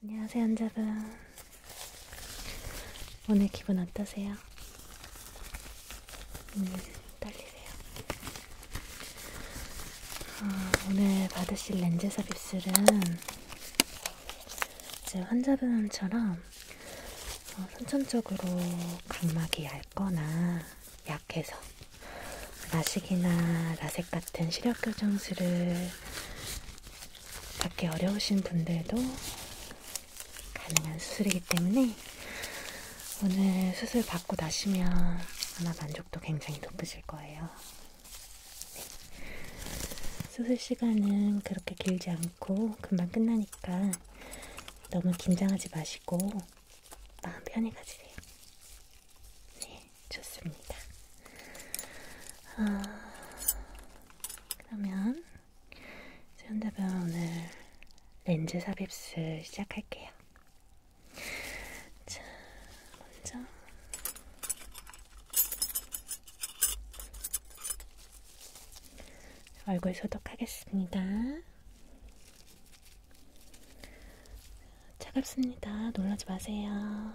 안녕하세요 환자분 오늘 기분 어떠세요? 음, 떨리세요? 어, 오늘 받으실 렌즈 삽입술은 이제 환자분처럼 어, 선천적으로 각막이 얇거나 약해서 라식이나 라섹 같은 시력 교정술을 받기 어려우신 분들도 가능한 수술이기 때문에 오늘 수술 받고 나시면 아마 만족도 굉장히 높으실 거예요. 네. 수술 시간은 그렇게 길지 않고 금방 끝나니까 너무 긴장하지 마시고 마음 편히 가지세요. 네. 네, 좋습니다. 아, 그러면 현대병 오늘 렌즈 삽입술 시작할게요. 자, 먼저 얼굴 소독하겠습니다. 차갑습니다. 놀라지 마세요.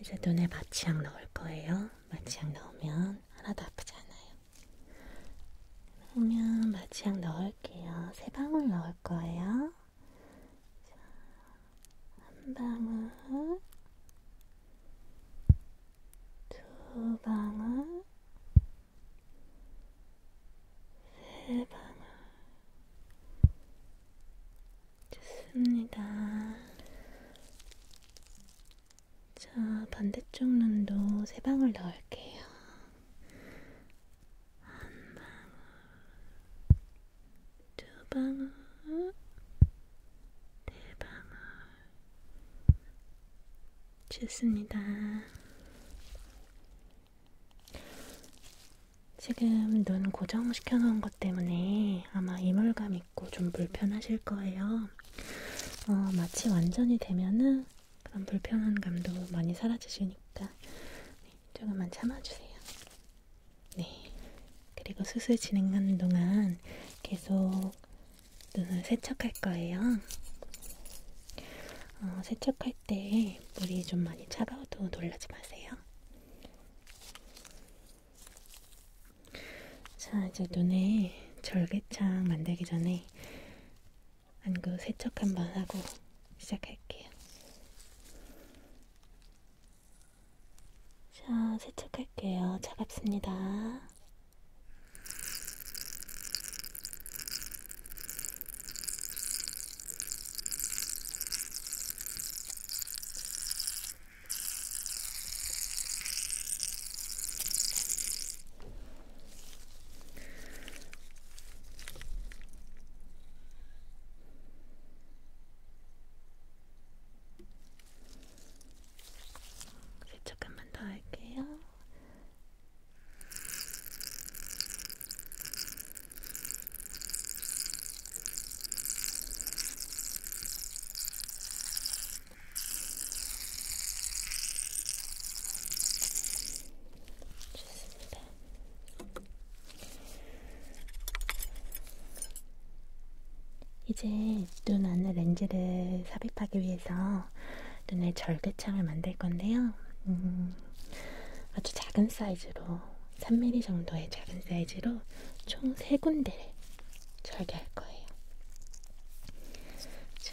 이제 눈에 마취약 넣을 거예요. 마취약 넣으면 하나도 아프지 않아요. 그러면 마취약 넣을게요. 세 방울 넣을 거예요. 자, 한 방울, 두 방울, 세 방울. 좋습니다. 자, 반대쪽 눈도 세 방울 넣을게요. 한 방울, 두 방울, 네 방울. 좋습니다. 지금 눈 고정시켜 놓은 것 때문에 아마 이물감 있고 좀 불편하실 거예요. 어, 마취 완전히 되면은 그런 불편한 감도 많이 사라지시니까 네, 조금만 참아주세요. 네. 그리고 수술 진행하는 동안 계속 눈을 세척할 거예요. 어, 세척할 때 물이 좀 많이 차가워도 놀라지 마세요. 자, 이제 눈에 절개창 만들기 전에 안구 세척 한번 하고 시작할게요. 자, 세척할게요. 차갑습니다. 이제 조금만 더 할게요. 좋습니다. 이제 눈 안에 렌즈를 삽입하기 위해서 눈에 절대창을 만들 건데요. 음, 아주 작은 사이즈로 3mm 정도의 작은 사이즈로 총 3군데를 절개할 거예요. 자,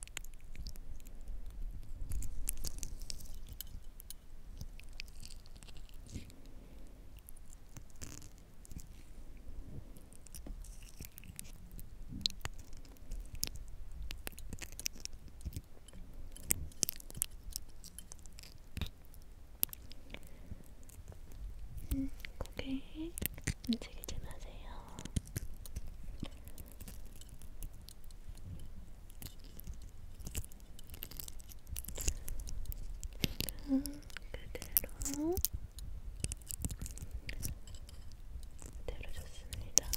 음, 고개 움직이지 마세요. 그대로 그대로 좋습니다.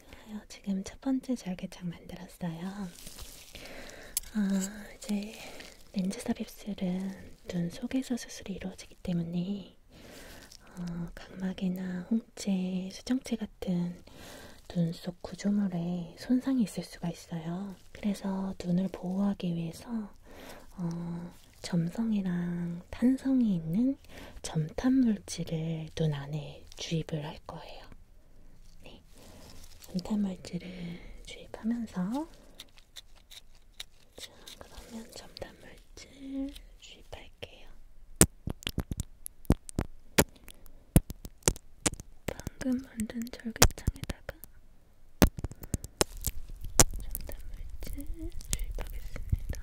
좋아요. 지금 첫 번째 절개창 만들었어요. 아, 이제 렌즈 삽입술은 눈 속에서 수술이 이루어지기 때문에 어, 각막이나 홍채, 수정체 같은 눈 속 구조물에 손상이 있을 수가 있어요. 그래서 눈을 보호하기 위해서 어, 점성이랑 탄성이 있는 있는 점탄 물질을 눈 안에 주입을 할 거예요. 네. 점탄 물질을 주입하면서 자, 그러면 점탄 물질 주입할게요. 방금 만든 절개창에다가 점탄 물질 주입하겠습니다.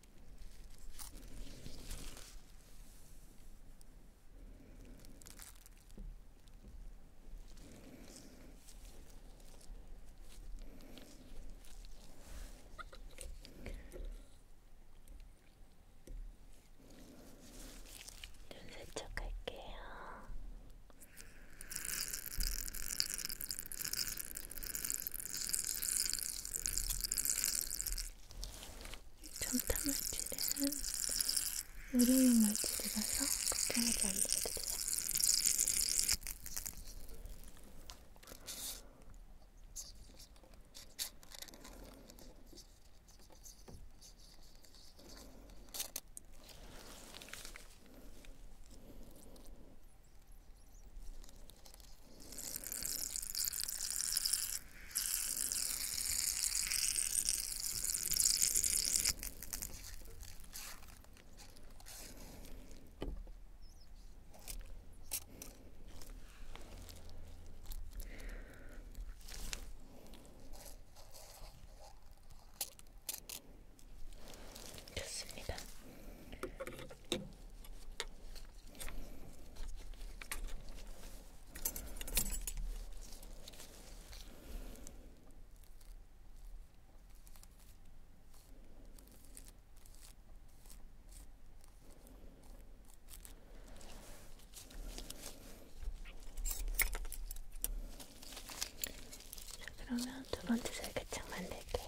눈 세척할게요. 전타물질은 의료용 물질이라서 걱정하지 않으셔도 돼요. 좋습니다. 그러면 두 번째 절개창 만들게요.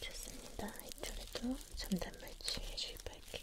좋습니다. 이쪽에도 전단물 칠해 주입할게요.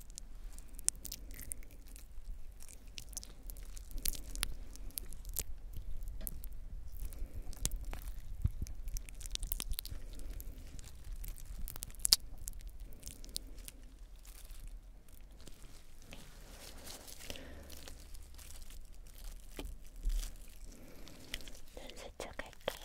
눈 세척할게요.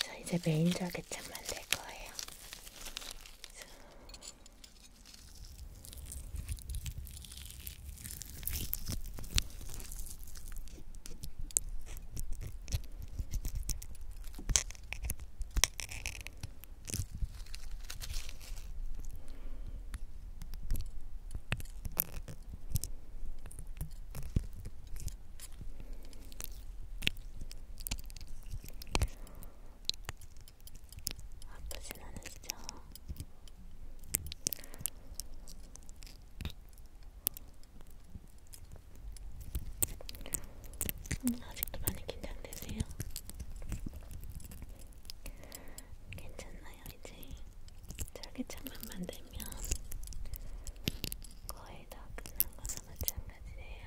자, 이제 메인 자개참 만들 거예요. 자. 아프진 않으시죠? 음, 아직도 많이 긴장되세요? 괜찮나요, 이제? 절기차만 만들면 거의 다 끝난 거나 마찬가지예요.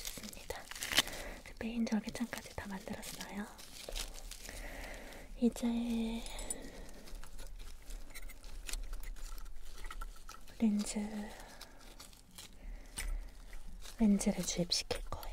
좋습니다. 메인 절개창까지 다 만들었어요. 이제 렌즈 렌즈를 주입시킬 거예요.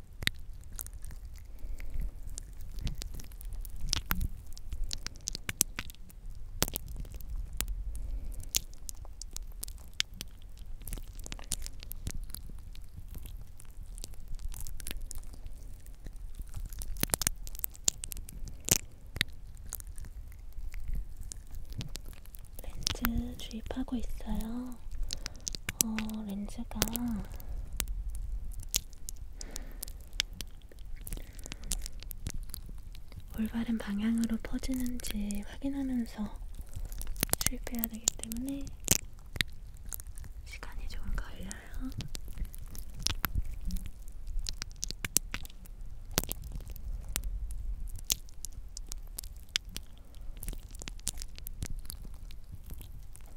렌즈 주입하고 있어요. 어, 렌즈가 올바른 방향으로 퍼지는지 확인하면서 출입해야 되기 때문에 시간이 조금 걸려요.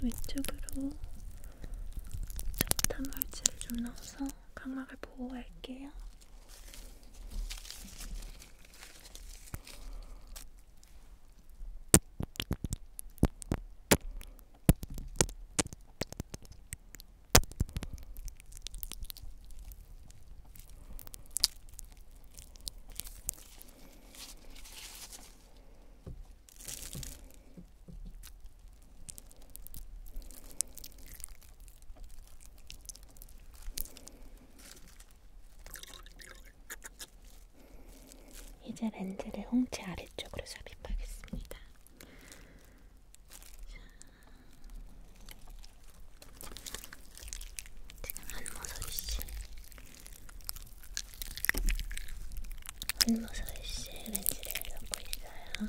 왼쪽, 왼쪽으로 단말지를 좀 넣어서 각막을 보호할게요. 이제 렌즈를 홍채 아래쪽으로 삽입하겠습니다. 자. 지금 한 모서리씩 한 모서리씩 렌즈를 넣고 있어요. 이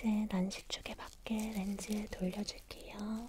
이제 난시축에 밖에 렌즈 돌려줄게요.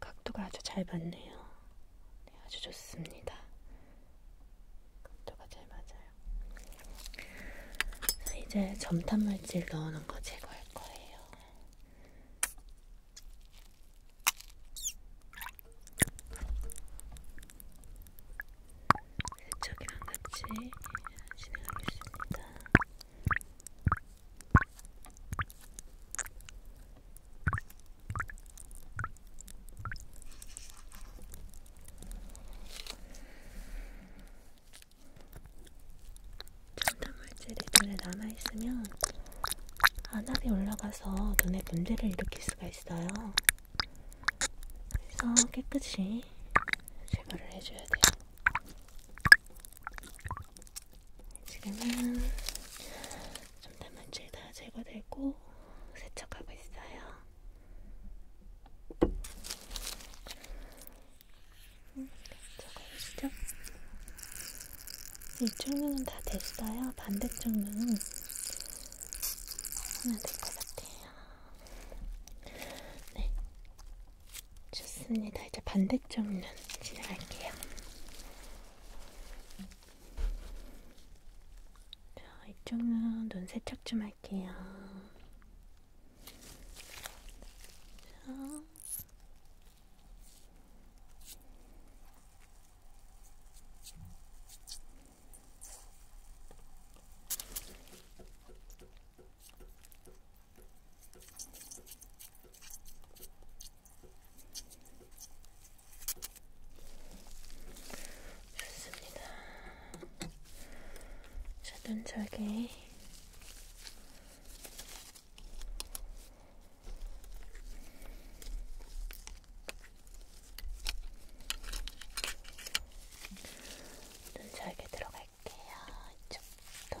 각도가 아주 잘 맞네요. 네, 아주 좋습니다. 각도가 잘 맞아요. 자, 이제 점탄 물질 넣어놓은 거 제거할 거예요. 세척이랑 네, 같이 진행하겠습니다. 전자물질이 눈에 남아있으면 안압이 올라가서 눈에 문제를 일으킬 수가 있어요. 그래서 깨끗이 제거를 해줘야 돼요. 지금은 좀 단물질 다 제거되고 세척하고 있어요. 음, 적어보시죠. 이쪽 눈은 다 됐어요. 반대쪽 눈은 하면 될 것 같아요. 네, 좋습니다. 이제 반대쪽면 지나갈게요. 자, 이쪽은 눈 세척 좀 할게요. 자. 좋습니다. 자, 눈차게 눈차게 들어갈게요. 이쪽부터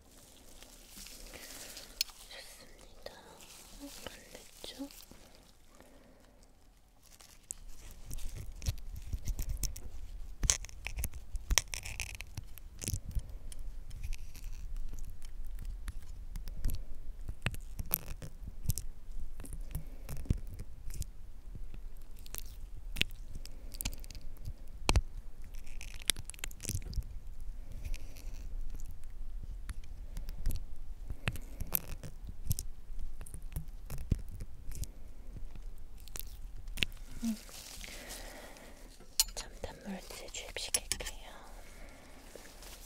좋습니다. 걸렸죠? 음. 잠단물 이제 주입시킬게요. 음.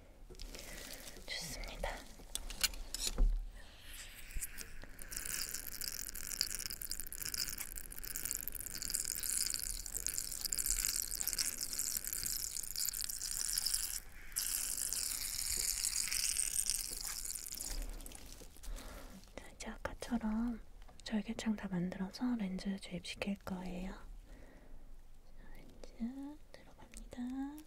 좋습니다. 자, 이제 아까처럼 절개창 다 만들어서 렌즈 주입시킬 거예요. 자, 렌즈 들어갑니다.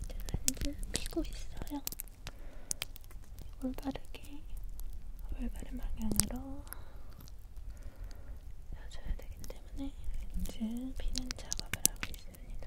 이제 렌즈 피고 있어요. 올바르게 올바른 방향으로 넣어줘야 되기 때문에 렌즈 피는 작업을 하고 있습니다.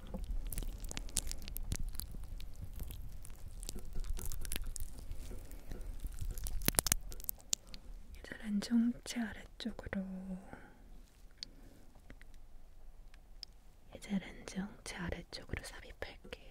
이제 렌종체 아래쪽으로 이제 렌종체 아래쪽으로 삽입할게요.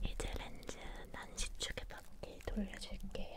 이제 렌즈 난시축에 밖에 돌려줄게요.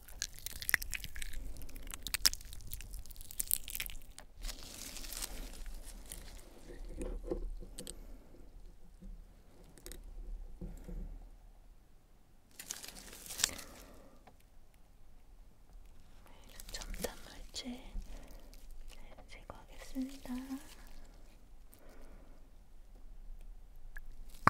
첨단 물질 제거하겠습니다.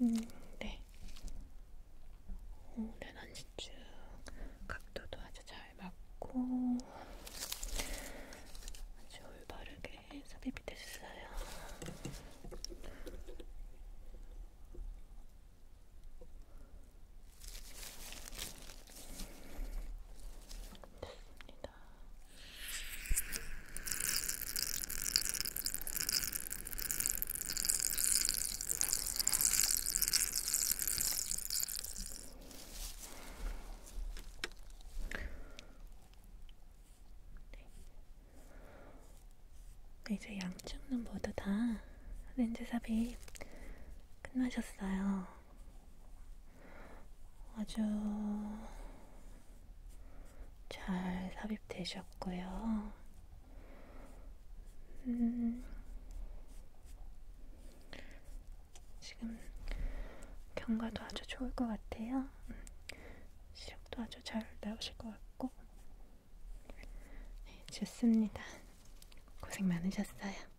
음, 네. 오른 한시쭉 네, 각도도 아주 잘 맞고 아주 올바르게 삽입이 됐어요. 네. 됐습니다. 네. 네 이제 양쪽은 모두 다 렌즈 삽입 끝나셨어요. 아주 잘 삽입되셨고요. 음, 지금 경과도 아주 좋을 것 같아요. 시력도 아주 잘 나오실 것 같고. 네, 좋습니다. 고생 많으셨어요.